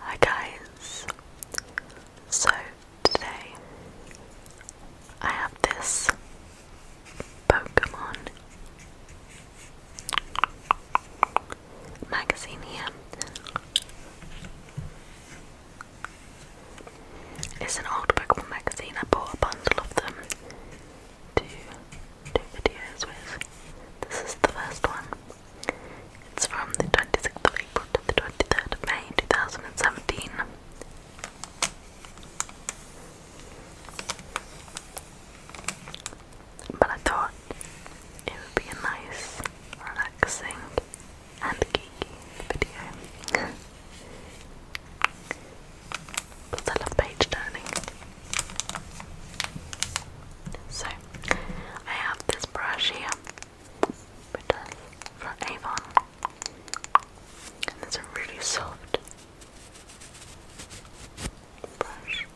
Hi guys, so today I have this Pokemon magazine here. It's an old Pokemon magazine, I bought a bundle of them to do videos with. This is the first one. It's from the 26th of April to the 23rd of May 2017. But I thought it would be a nice, relaxing, and geeky video. Because I love page turning. So, I have this brush here, which from Avon, and it's a really soft brush.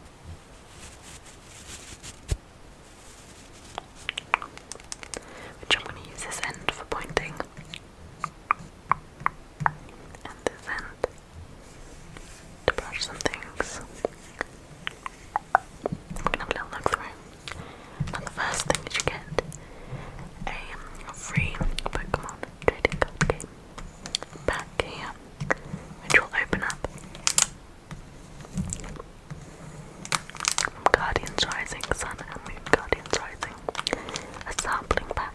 Which I'm going to use this end for pointing, and this end to brush some things. I'm gonna have a little look through. Now the first thing is you get a free Pokemon trading card game back which will open up Guardians Rising, Sun and Moon Guardians Rising, a sampling pack.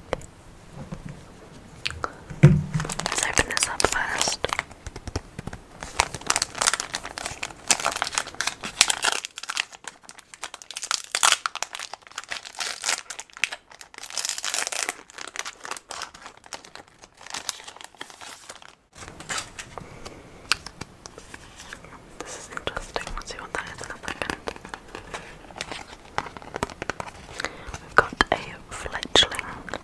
Let's open this up first. This is interesting. Let's see that is in a we We've got a fledgling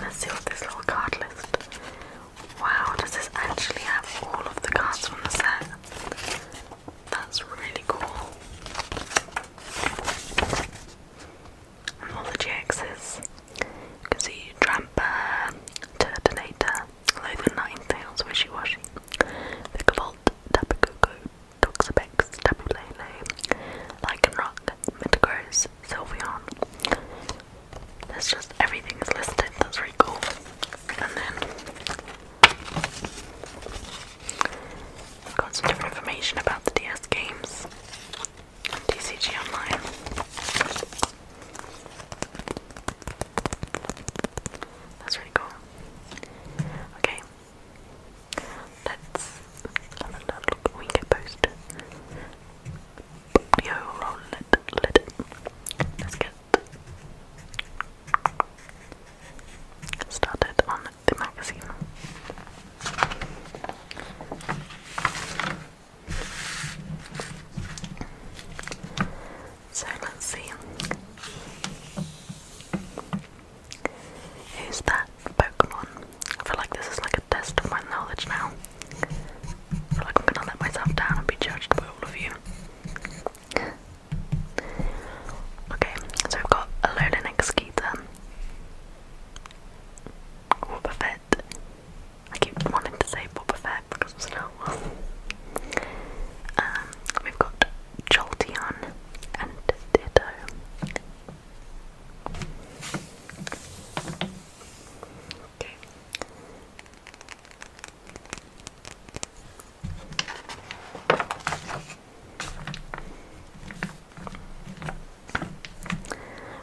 let's see what this little card list. Wow, does this actually have all of the cards from the set? That's really cool. all the GXs. You can see Dramper, Turtonator, Wishy Washy, Vicavolt, Tapu Koko, Toxapex, Tapu Lele, Lycanroc, Metagross, Sylveon. just everything is listed, that's really cool. And then I've got some different information about the DS games on Online. That's really cool. Okay, let's have a look. We can post. Let's get started on the magazine. So let's see. Who's that Pokemon? I feel like this is like a test of my knowledge now. I feel like I'm gonna let myself down and be judged by all of you. Okay, so I've got Alolan Executor, Boba Fett. I keep wanting to say Boba Fett because it's not one. Um, we've got Jolteon and Ditto. Okay.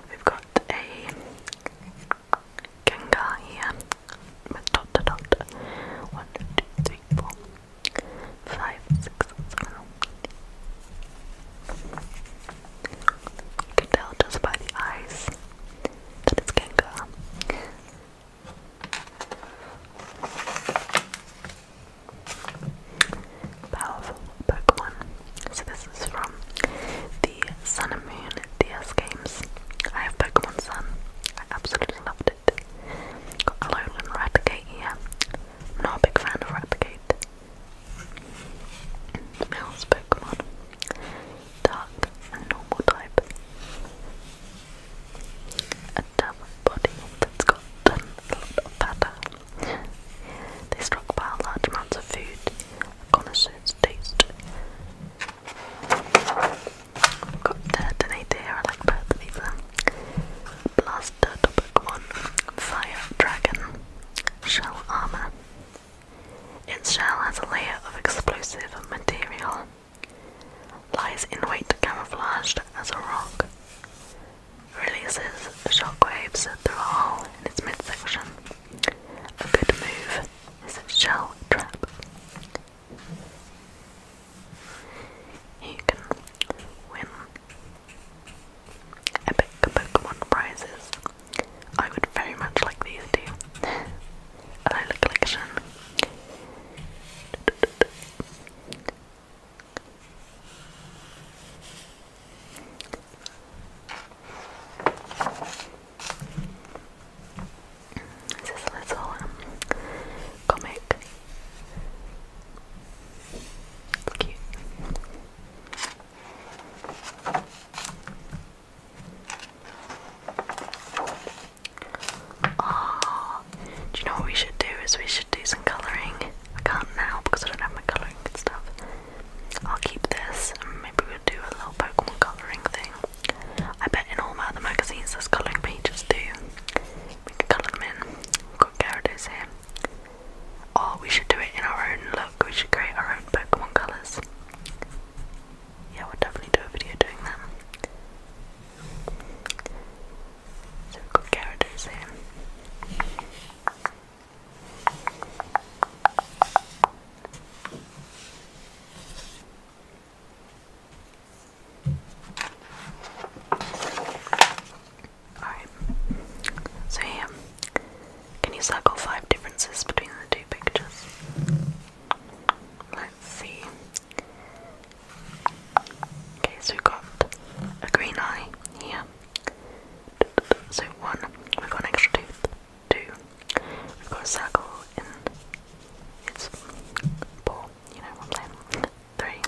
We've got a Gengar here with dot to dot. One, two, three, four, five, six, seven. You can tell just by the eyes that it's Gengar. Powerful Pokemon. So this is from the Sun and Moon DS games. I have Pokemon Sun. I absolutely loved it. Got Alolan Raticate here. not a big fan of Raticate. Mills Pokemon. Dark and normal type have a body that's got a lot of fat. They stockpile large amounts of food. Connoisseurs taste. I've got uh, Donate here, I like both of these. Blaster Pokemon, Fire Dragon, Shell Armor. Its shell has a layer of explosive material Lies in wait camouflaged as a rock. Releases shockwaves through a hole in its midsection. A good move is its shell trap. You can win epic Pokemon prizes. I would very much like these two. A collection. This is a little um, comic. It's cute do you know what we should do? Is we should do some colouring. I can't now because I don't have my colouring stuff. I'll keep this maybe we'll do a little Pokemon colouring thing. I bet in all my other magazines there's colouring pages too. We can colour them in. got Gyarados here. Oh, we should do it in our own look. We should create our own Pokemon colours. Yeah, we'll definitely do a video doing that. So we've got characters here. Alright, so here, can you circle five differences between the two pictures? Let's see. Okay, so we've got a green eye here. So one, we've got an extra tooth. Two, we've got a circle in its paw. You know what I'm saying? Three,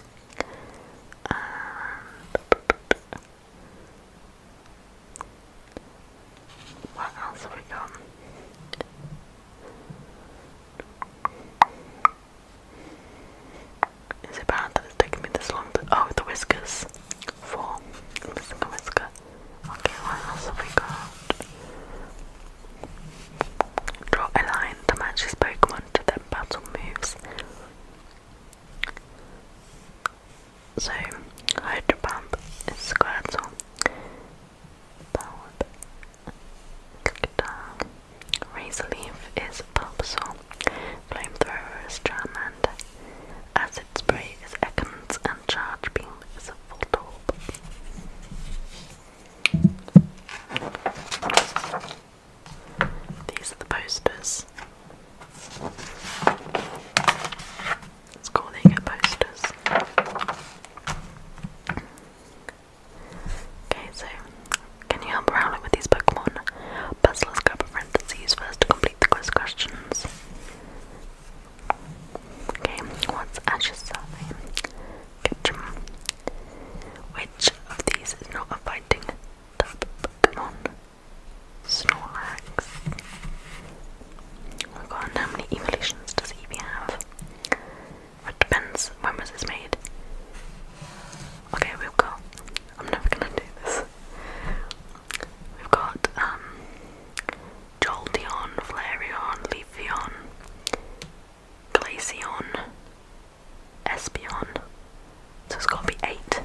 what else have we got? Is it bad that it's taking me this long to- oh, the whiskers. Four. missing a whisker. Okay, what else have we got? Draw a line to match his Pokemon to their battle moves. So, Hydro Pump is Squirtle. Bulb Razor leaf is pulpsol, flamethrower is charmander, acid spray is Ekans, and charge beam is a full These are the posters. It's cool they posters. Okay, so can you help Rowlet with these Pokemon? Puzzlers grab a friend to see first to complete the quiz questions. Okay, what's Ash's surname? Ketchum. Which of these is not a fighting type Pokemon? Snorlax. Oh my god, how many evolutions does Eevee have? It depends when was this made. Okay, we've got. I'm never gonna do this. We've got um, Jolteon, Flareon, Leafeon, Glaceon, Espeon. So it's gotta be eight.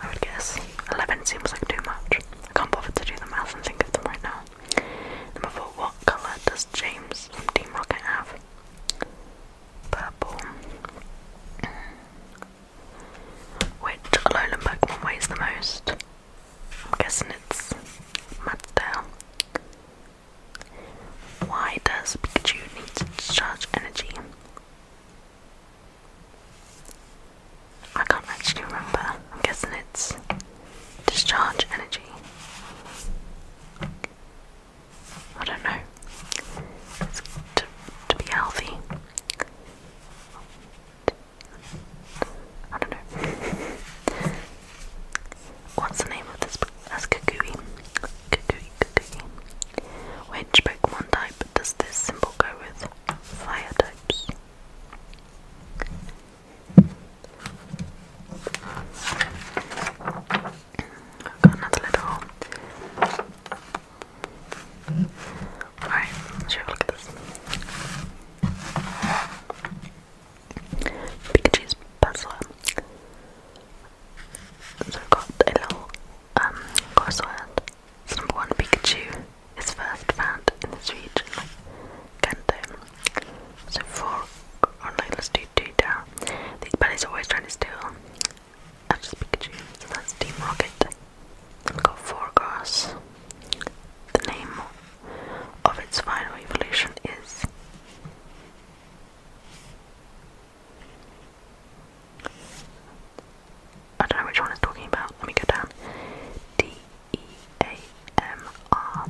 I would guess. Eleven seems like too much. I can't bother to do the math and think of them right now. Number four, what colour does James from Team Rocket have? Purple. Which Alolan Pokemon weighs the most? I'm guessing it's Madsdale. Why does Pikachu need to discharge energy? I can't actually remember. I'm guessing it's Discharge energy. I don't know. to, to be healthy. I don't know. What's the name of this? That's Kukui. Kukui, Kukui. Which Pokemon type does this symbol go with? Fire types. Got another little Alright, let's have a look at this. Pikachu's puzzler. So I've got a little um crossword. So number one Pikachu is first found in this region, Kanto. So fork or oh, like let's do data. These bunnies are always trying to steal. That's just Pikachu. that's Team Rocket. got four grass. The name of its final evolution is I don't know which one it's talking about. Let me go down. D E A M R.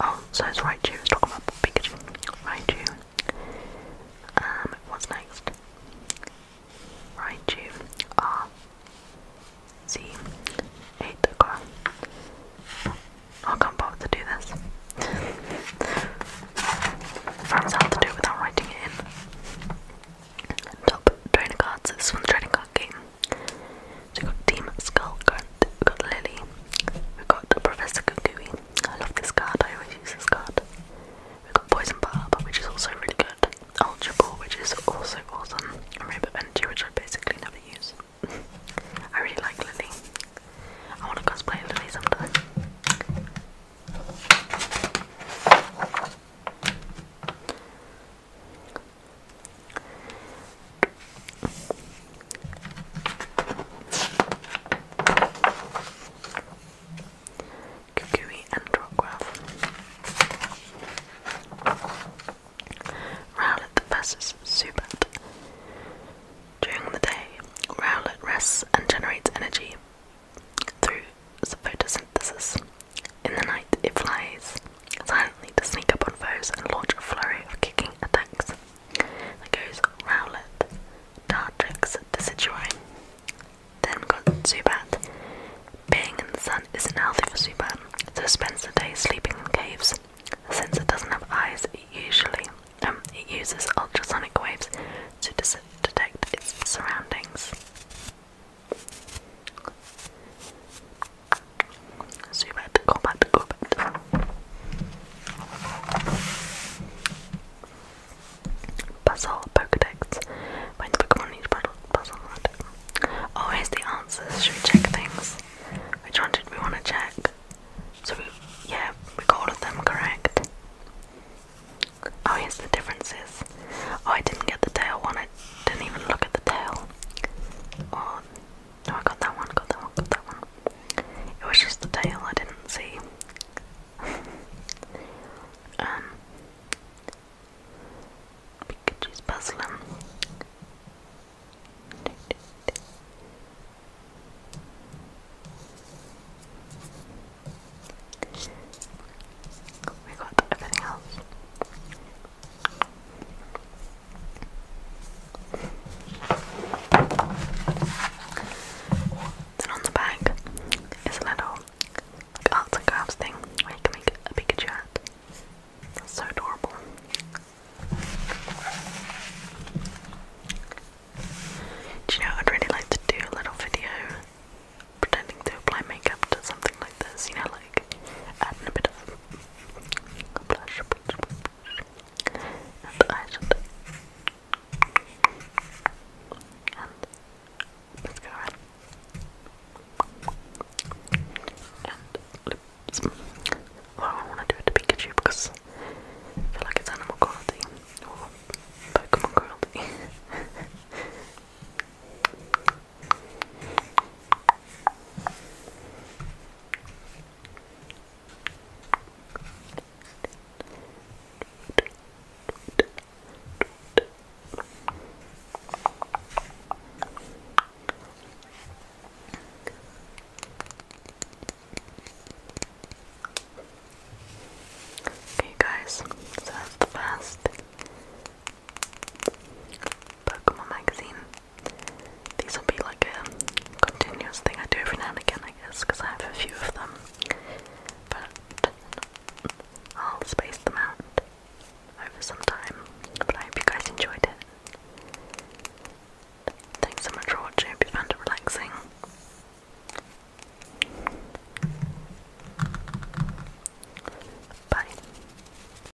Oh, so it's Raichu. It's talking about Pikachu. Raichu. Um, what's next? Raichu R Z eight I can't bother to do this. That's hard to do without writing it in. Top trainer cards. This one's trading card game we've got Team Skullgrunt, we got Lily, we got Professor Kukui. I love this card, I always use this card. We've got Poison Barb, which is also really good. Ultra Ball, which is also awesome. Rainbow Energy, which I basically never use. I really like Lily. I want to cosplay Lily sometime. Kukui and Rockwell. versus Zubat. During the day, Rowlett rests and generates energy through photosynthesis. In the night, it flies. I need to sneak up on foes and launch a flurry of kicking attacks. There goes Rowlet, Dartrix, Decidueye. Then we Zubat. Being in the sun isn't healthy for Zubat, so spends the day sleeping in caves. Since it doesn't have eyes, it usually um, it uses ultrasonic waves to detect its surroundings. So you better go back to go back to Puzzle Pokedex. Find Pokemon Oh, here's the answers. Should we check things? Which one did we want to check? So we, yeah, we got all of them correct. Oh, here's the differences. Oh, I didn't get the tail one. I didn't even look at the tail. No, I got that one, got that one, got that one. It was just the tail I didn't see. um, Pikachu's puzzling. We got everything else. Then on the back is a little arts and crafts thing where you can make a Pikachu hat. so adorable. Do you know, I'd really like to do a little video pretending to apply makeup to something like this, you know, like like adding a bit blush, and eyeshadow and and lips. Well, I want to do it to Pikachu because I feel like it's animal quality or Pokemon quality. Okay, guys, that's the first Pokemon magazine these will be like a continuous thing I do every now and again, I guess, because I have a few of them. But I'll space them out over some time. But I hope you guys enjoyed it. Thanks so much for watching. Hope you found it relaxing. Bye.